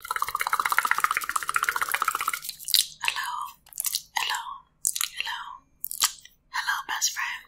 Hello, hello, hello, hello, best friend.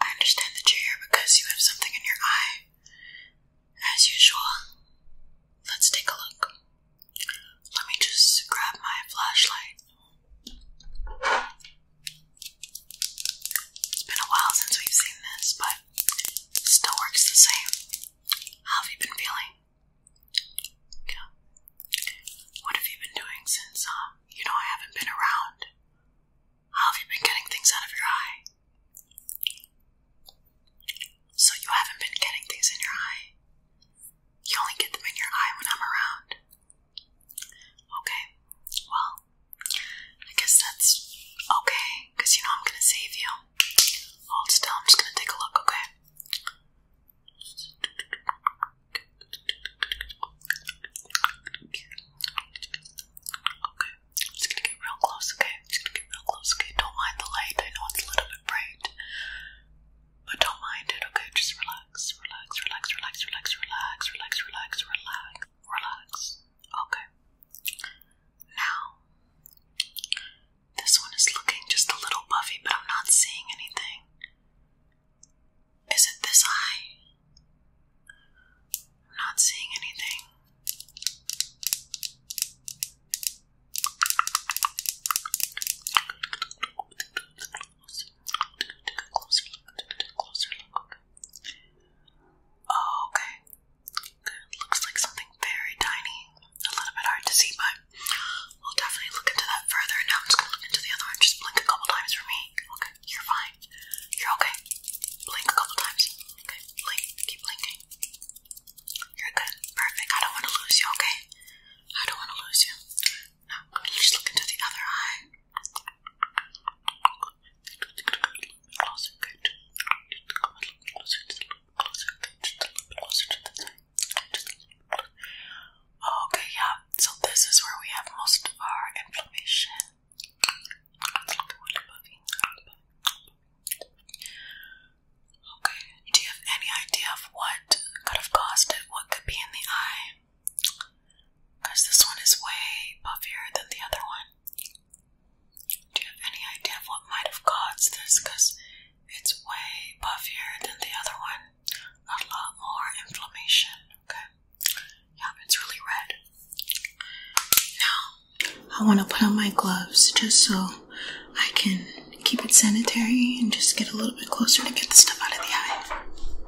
I understand that you're here because you have something in your eye. As usual, let's take a look. Let me just grab my flashlight. It's been a while since we've seen this, but still works the same. How have you been feeling? What have you been doing since, um, you know, I haven't been around? How have you been getting things out of your eye? So you haven't been getting things in your eye? You only get them in your eye when I'm around. Okay, well, I guess that's okay, you know I'm gonna save you. Hold still, I'm just gonna take a look, okay? Okay, I'm just gonna get real close, okay? just gonna get real close, okay? Don't mind the light, I know it's a little bit bright. But don't mind it, okay? Just relax, relax, relax, relax, relax, relax, relax, relax, relax, relax. Okay, now, this one is looking just a little Buffy, but I'm not seeing anything. Is it this eye? I'm not seeing anything. Oh, okay. It looks like something very tiny. A little bit hard to see, but we'll definitely look into that further. Now I'm just gonna look into the other one. Just blink a couple times for me. Okay, you're fine. You're okay. Blink a couple times. Okay, blink. Keep blinking. You're good. Perfect. I don't want to lose you, okay? I don't want to lose you. Now, I'm gonna just look into the other eye. Okay, yeah. So this is where we have most of our inflammation. Okay, do you have any idea of what could have caused it? What could be in the eye? Because this one is way puffier than the other one. Do you have any idea what might have caused this? Because it's way puffier than the other one. A lot more inflammation, okay? Yeah, it's really red. Now, I want to put on my gloves just so I can keep it sanitary and just get a little bit closer to get the stuff out of the eye.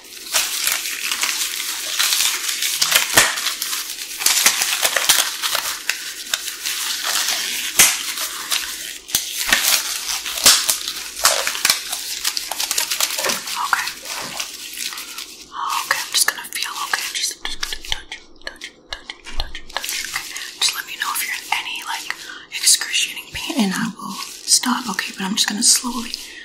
Okay, I'm just gonna feel okay. I'm just, I'm just gonna touch, touch, touch, touch, touch. Okay. Just let me know if you're in any like excruciating pain, and I will stop. Okay, but I'm just gonna slowly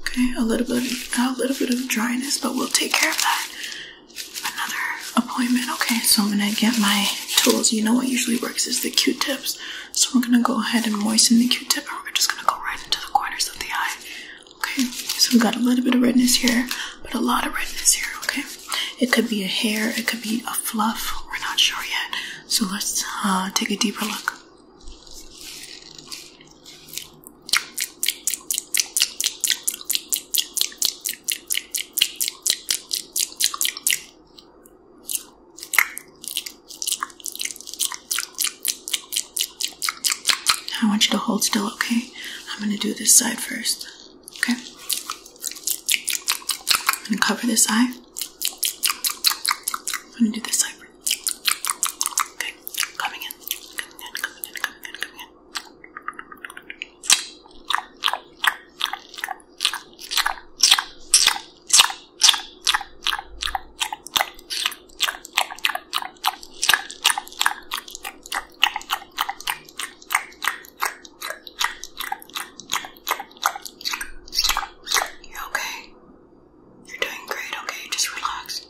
Okay, a little bit, of, a little bit of dryness, but we'll take care of that. Another appointment. Okay, so I'm gonna get my tools. You know what usually works is the Q-tips. So we're gonna go ahead and moisten the Q-tip, and we're just gonna go right into the corners of the eye. Okay, so we got a little bit of redness here, but a lot of redness here. Okay, it could be a hair, it could be a fluff. We're not sure yet. So let's uh, take a deeper look. I want you to hold still, okay? I'm gonna do this side first, okay? I'm gonna cover this eye. I'm gonna do this side Okay, coming in, coming in, coming in, coming in, coming in. You okay? You're doing great, okay? Just relax.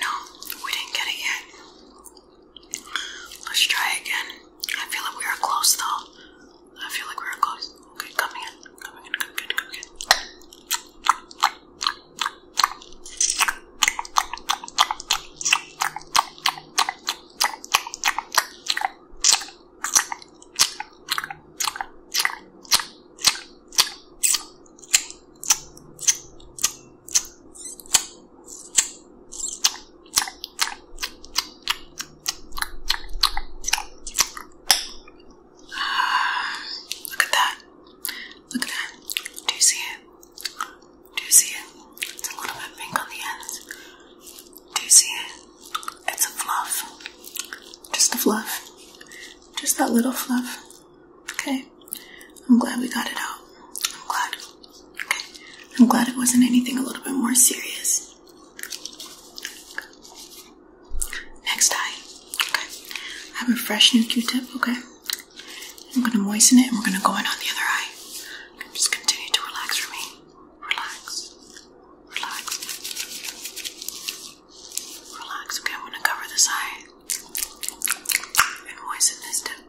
No, we didn't get it yet. Let's try again. I feel like we are close though. I feel like we are close. Okay, coming in. Come in, come in, come in. Look at that. Look at that. Do you see it? Do you see it? It's a little bit pink on the ends. Do you see it? It's a fluff. Just a fluff. Just that little fluff. Okay. I'm glad we got it out. I'm glad. Okay. I'm glad it wasn't anything a little bit more serious. Next eye. Okay. I have a fresh new Q-tip, okay? I'm gonna moisten it and we're gonna go in on the other eye. just continue to relax for me. Relax. Relax. Relax. Okay, I'm gonna cover this eye and moisten this tip.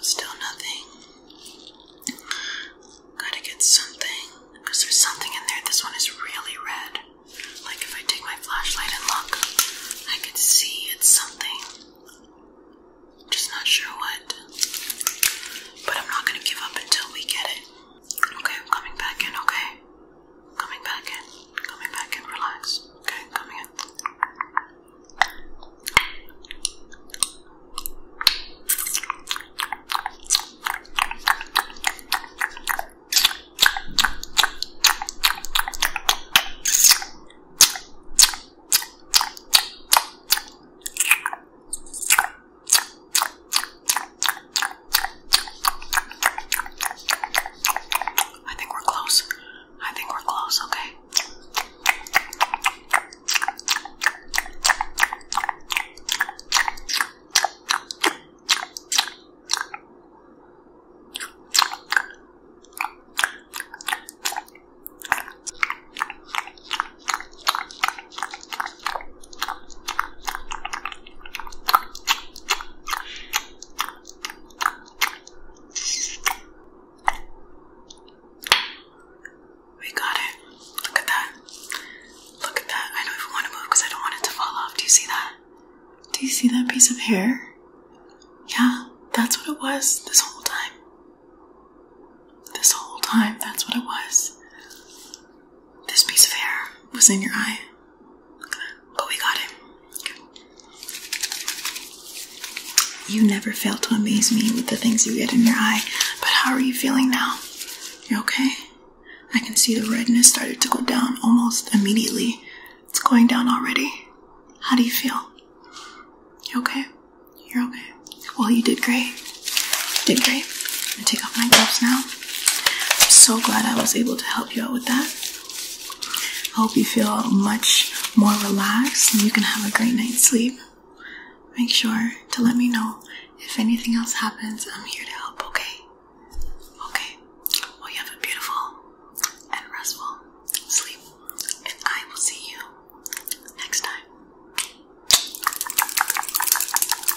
Still nothing. Gotta get something. Because there's something in there. This one is really red. Like if I take my flashlight and look, I can see it's something. Just not sure what. But I'm not gonna give up until we get it. Okay, I'm coming back in, okay? Coming back in, coming back in, relax. Okay, coming in. I think we're close. I think we're close, okay? We got it. Look at that. Look at that. I don't even want to move because I don't want it to fall off. Do you see that? Do you see that piece of hair? Yeah, that's what it was this whole time. This whole time, that's what it was. This piece of hair was in your eye. But we got it. You never fail to amaze me with the things you get in your eye. But how are you feeling now? You okay? I can see the redness started to go down almost immediately. It's going down already. How do you feel? You okay? You're okay. Well, you did great. did great. I'm gonna take off my gloves now. I'm so glad I was able to help you out with that. I hope you feel much more relaxed and you can have a great night's sleep. Make sure to let me know if anything else happens. I'm here to help, okay? Okay. Well, you have a beautiful and restful sleep, and I will see you next time.